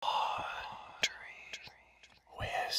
Audrey Whispers.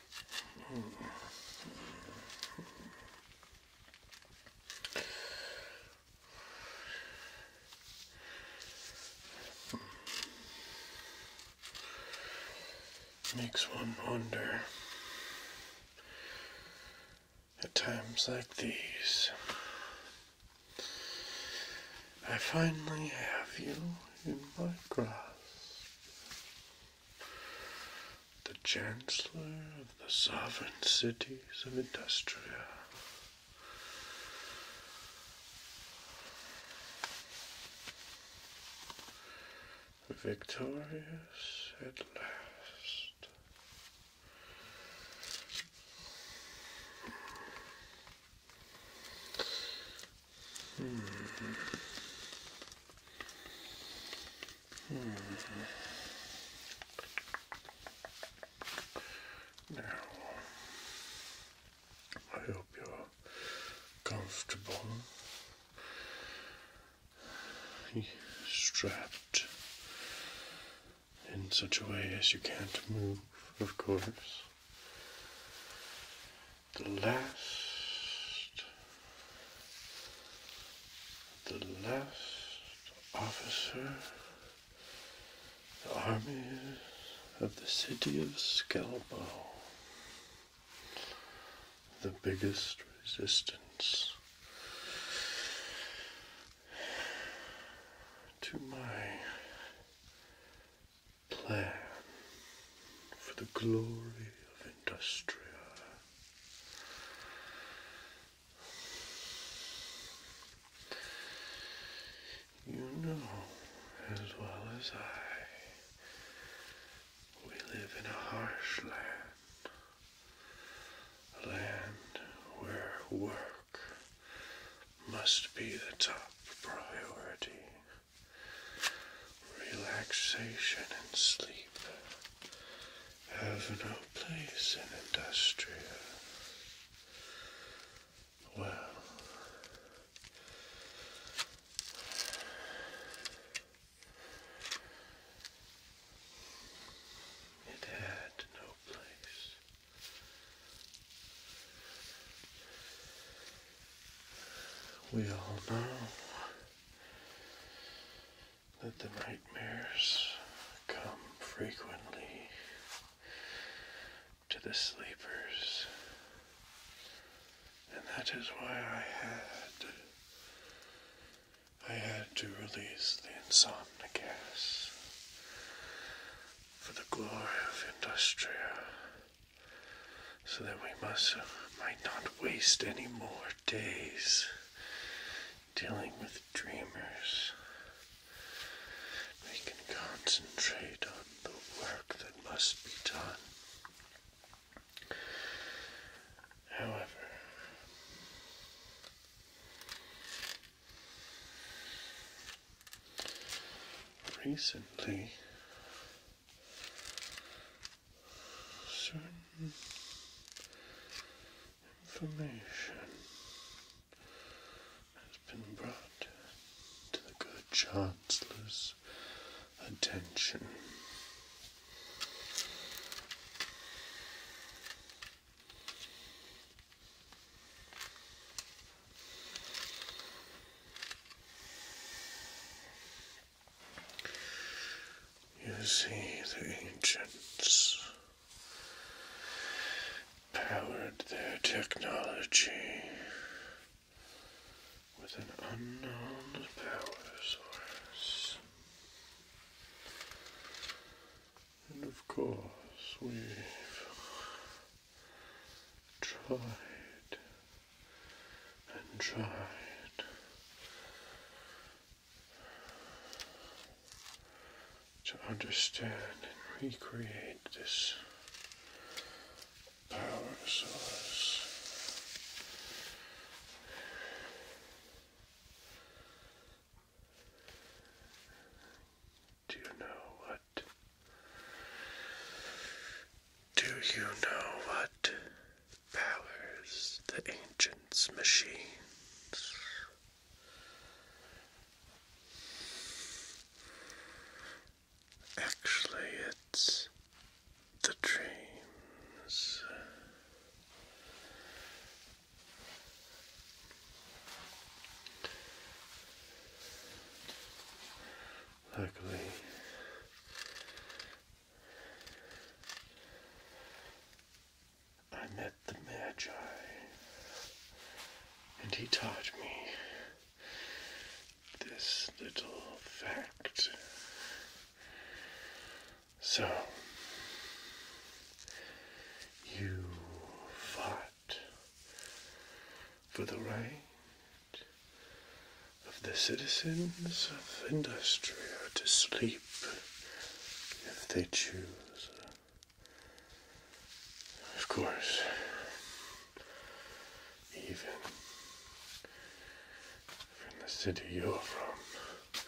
Makes one wonder at times like these. I finally have you in my grasp the Chancellor of the sovereign cities of Industria. Victorious at last hmm Now, I hope you're comfortable, strapped in such a way as you can't move, of course the last, the last officer, the army of the city of Skelbo, the biggest resistance to my plan for the glory of industry. You know as well as I, we live in a harsh land, a land where work must be the top priority relaxation and sleep have no place in industry. Well, it had no place we all know that the nightmares come frequently to the sleepers, and that is why I had. I had to release the insomnia for the glory of Industria so that we must uh, might not waste any more days dealing with dreamers. We can concentrate on the work that must be done. However, recently certain information has been brought to the good chancellor's attention. You see, the ancients powered their technology with an unknown power source. And of course, we tried and tried to understand and recreate this power source. Do you know what? Do you know what powers the ancient machines? Actually, it's the dreams. Luckily, I met the Magi, and he taught me this little fact. So, you fought for the right of the citizens of industry to sleep if they choose. Of course, even from the city you're from,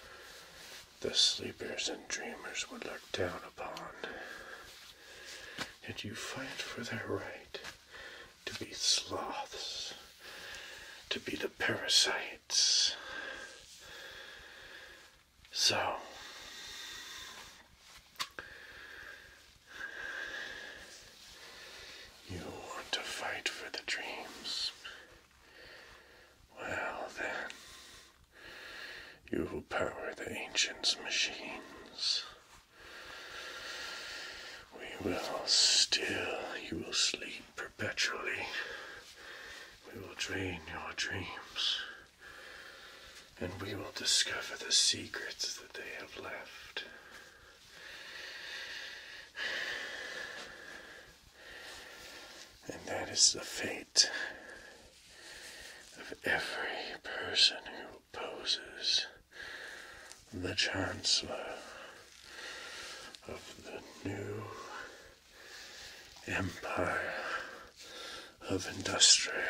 the sleepers and dreamers would look down and you fight for their right to be sloths, to be the parasites. So, you want to fight for the dreams. Well, then, you will power the ancients' machines. We will still, you will sleep perpetually. We will drain your dreams. And we will discover the secrets that they have left. And that is the fate of every person who opposes the Chancellor of the new empire of industry.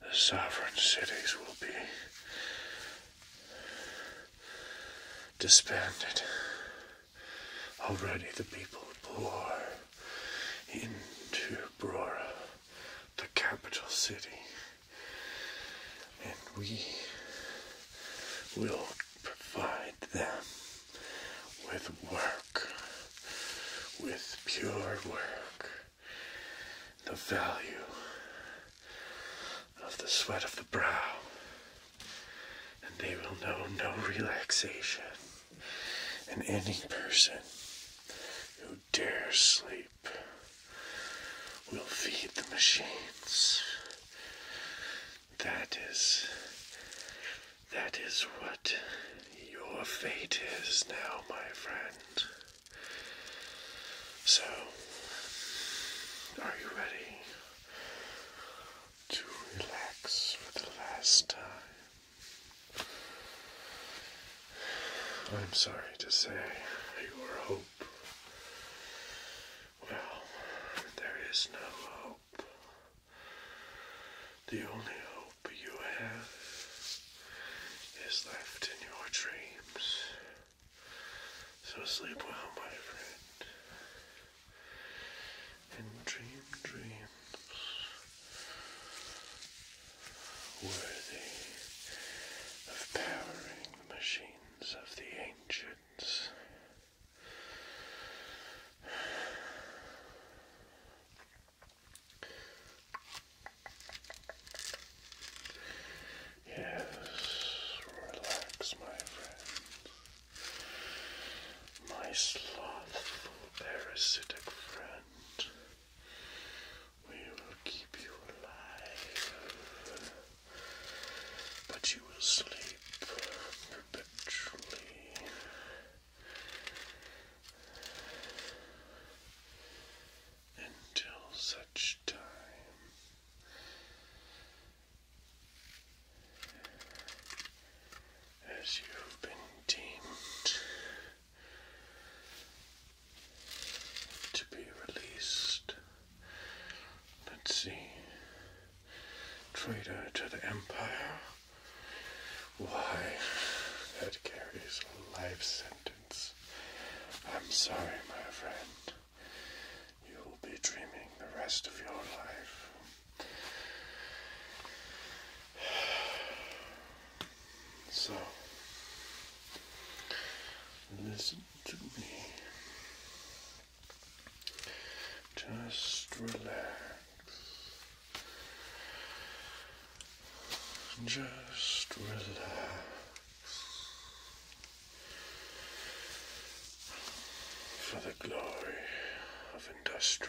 The sovereign cities will be disbanded. Already the people pour into Brora the capital city, and we will provide them with work, with pure work. The value of the sweat of the brow, and they will know no relaxation. And any person who dare sleep we will feed the machines. That is. That is what your fate is now, my friend. So, are you ready to relax for the last time? I'm sorry to say your hope. Well, there is no hope. The only hope you have is left in your dreams. So sleep well, my friend, and dream dreams worthy of powering the machines of the ancients. Yes, relax, my friend. My slothful, parasitic friend. We will keep you alive. But you will sleep perpetually. Until such time as you have been deemed to be released. Let's see. Traitor to the Empire. Why? That carries a life sentence. I'm sorry, my friend. You will be dreaming the rest of your life. So listen to me. Just relax. Just relax for the glory of industry.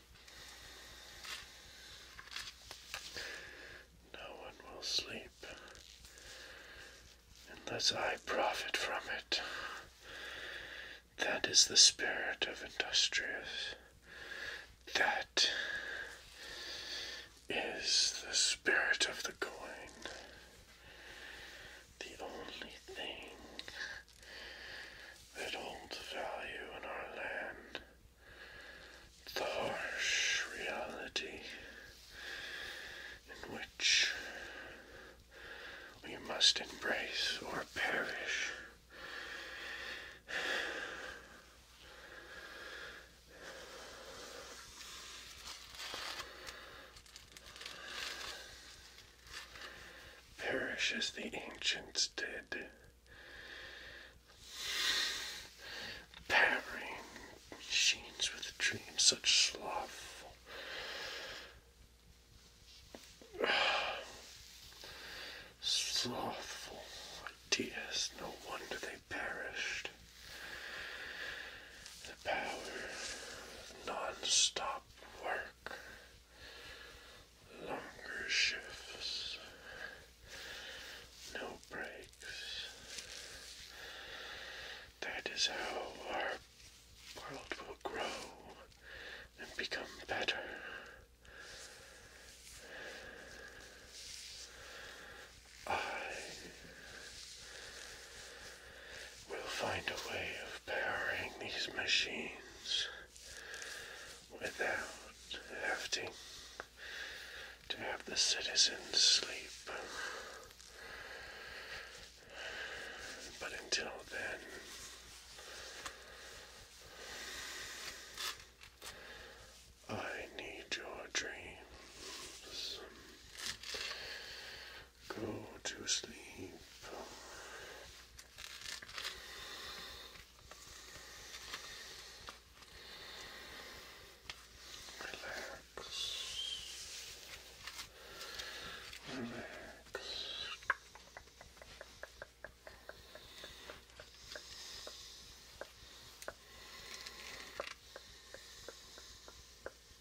No one will sleep unless I profit from it. That is the spirit of Industrious. That is the spirit of the coin. The only thing that hold value in our land. The harsh reality in which we must embrace or perish. Perish as the ancients did. Powering machines with dreams such slothful. slothful ideas, no wonder they perished. The power non stop work longer shifts, no breaks. That is how our world will grow and become better. I We'll find a way of powering these machines without having to have the citizens sleep. But until then, I need your dreams. Go to sleep. Relax. Relax.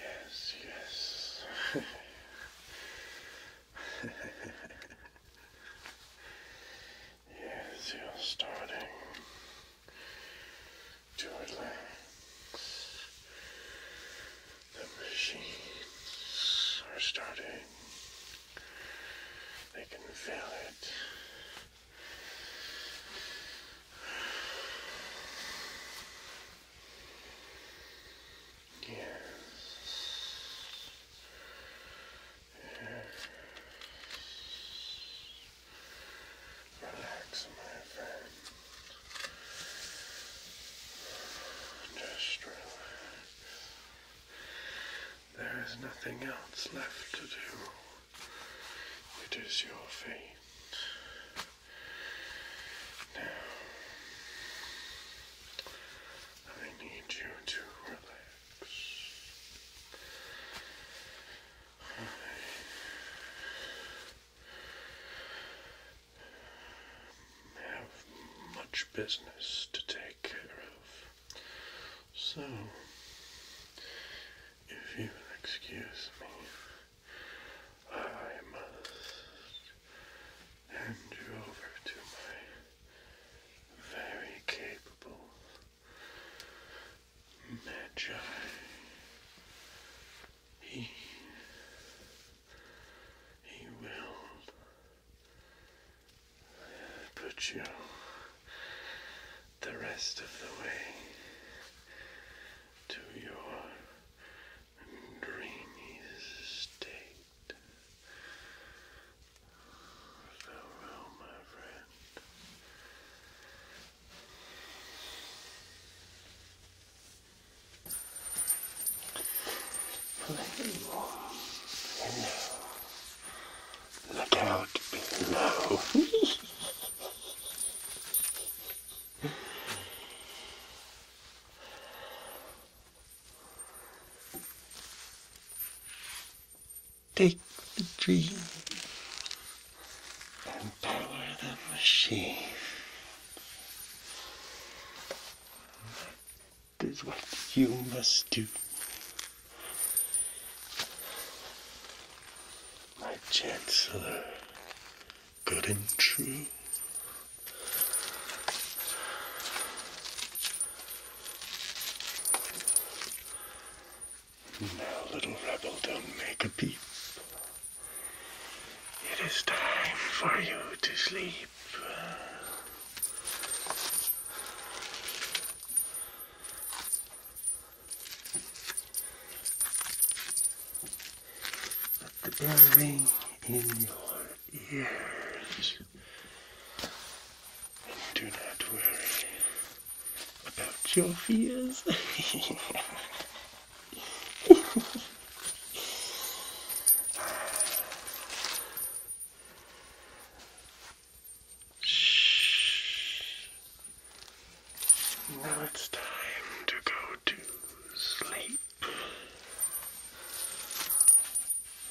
Yes, yes. yes, you're starting to relax. The machines are starting. They can feel it. Yes. Yes. Relax, my friend. Just relax. There is nothing else left to do. It is your fate. Now, I need you to relax. have much business to take care of. So, if you'll excuse me. I must hand you over to my very capable Magi. He, he will put you the rest of the way to your dreamy state. Farewell, my friend. Look out below. Take the dream and power the machine. That is what you must do. My Chancellor good and true. Now, little rebel, don't make a peep. It is time for you to sleep. Let the bell ring in your ears. do not worry about your fears. Shh. Now it's time to go to sleep.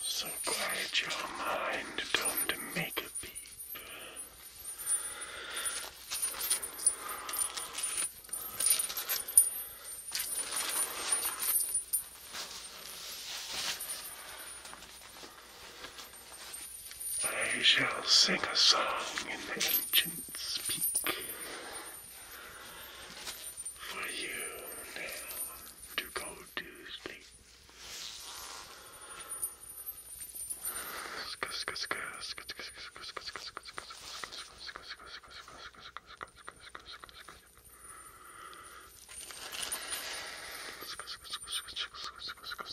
So quiet your mind, don't make a beep. I shall sing a song in the ancient speak for you now to go to sleep.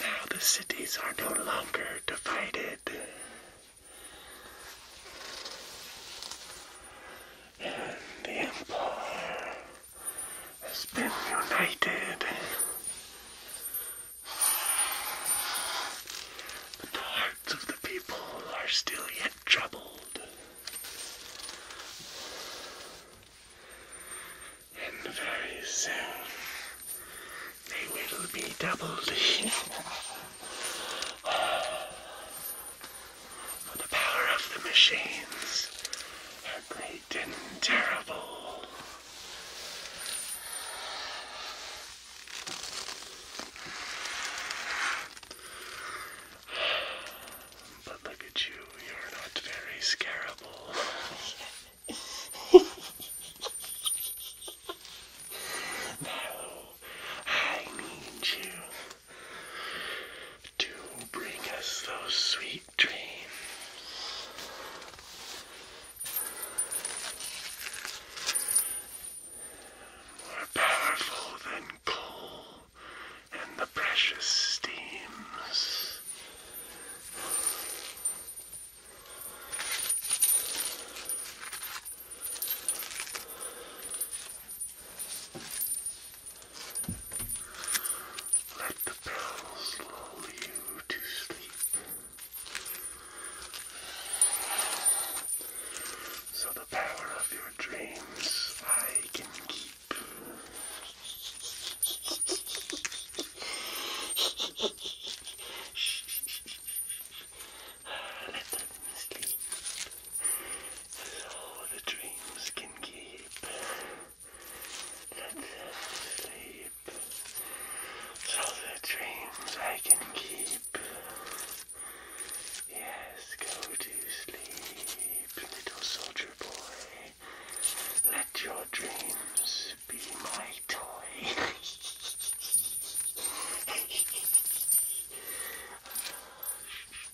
Now the cities are no longer divided. And the empire has been united. But the hearts of the people are still yet troubled. And very soon they will be doubled. For the power of the machines they are great and terrible. But look at you, you're not very scarable. now, I need you to bring us those sweet dreams. More powerful than coal and the precious steams. Let the bells lull you to sleep. So the power of your dreams I can keep. Let them sleep. So the dreams can keep. Let them sleep. So the dreams I can keep. Yes, go to sleep, little soldier boy. Let your dreams be my toy. Ah,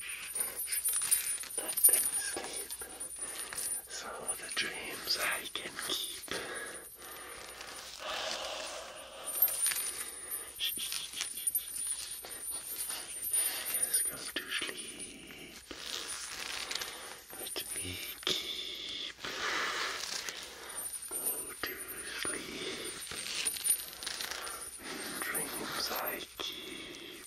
let them sleep so the dreams I can keep. Yes, go to sleep. Let me keep. Go to sleep. Dreams I keep.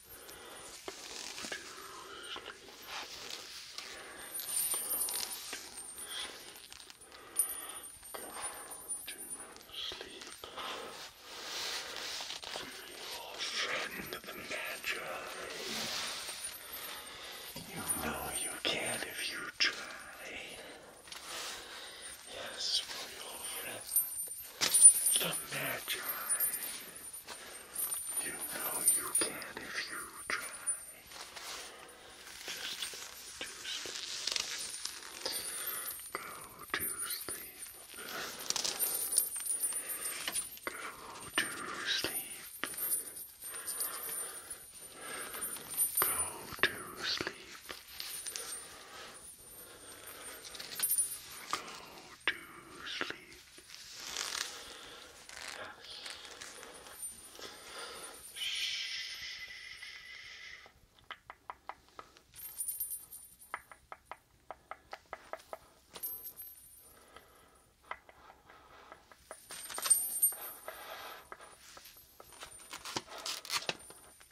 your friend the Magi. You know you can if you try. Yes, for your friend the Magi. You know you can if you try. Just go Go to sleep. Go to sleep. Go to sleep. Go to sleep. Yes. Shh. Good.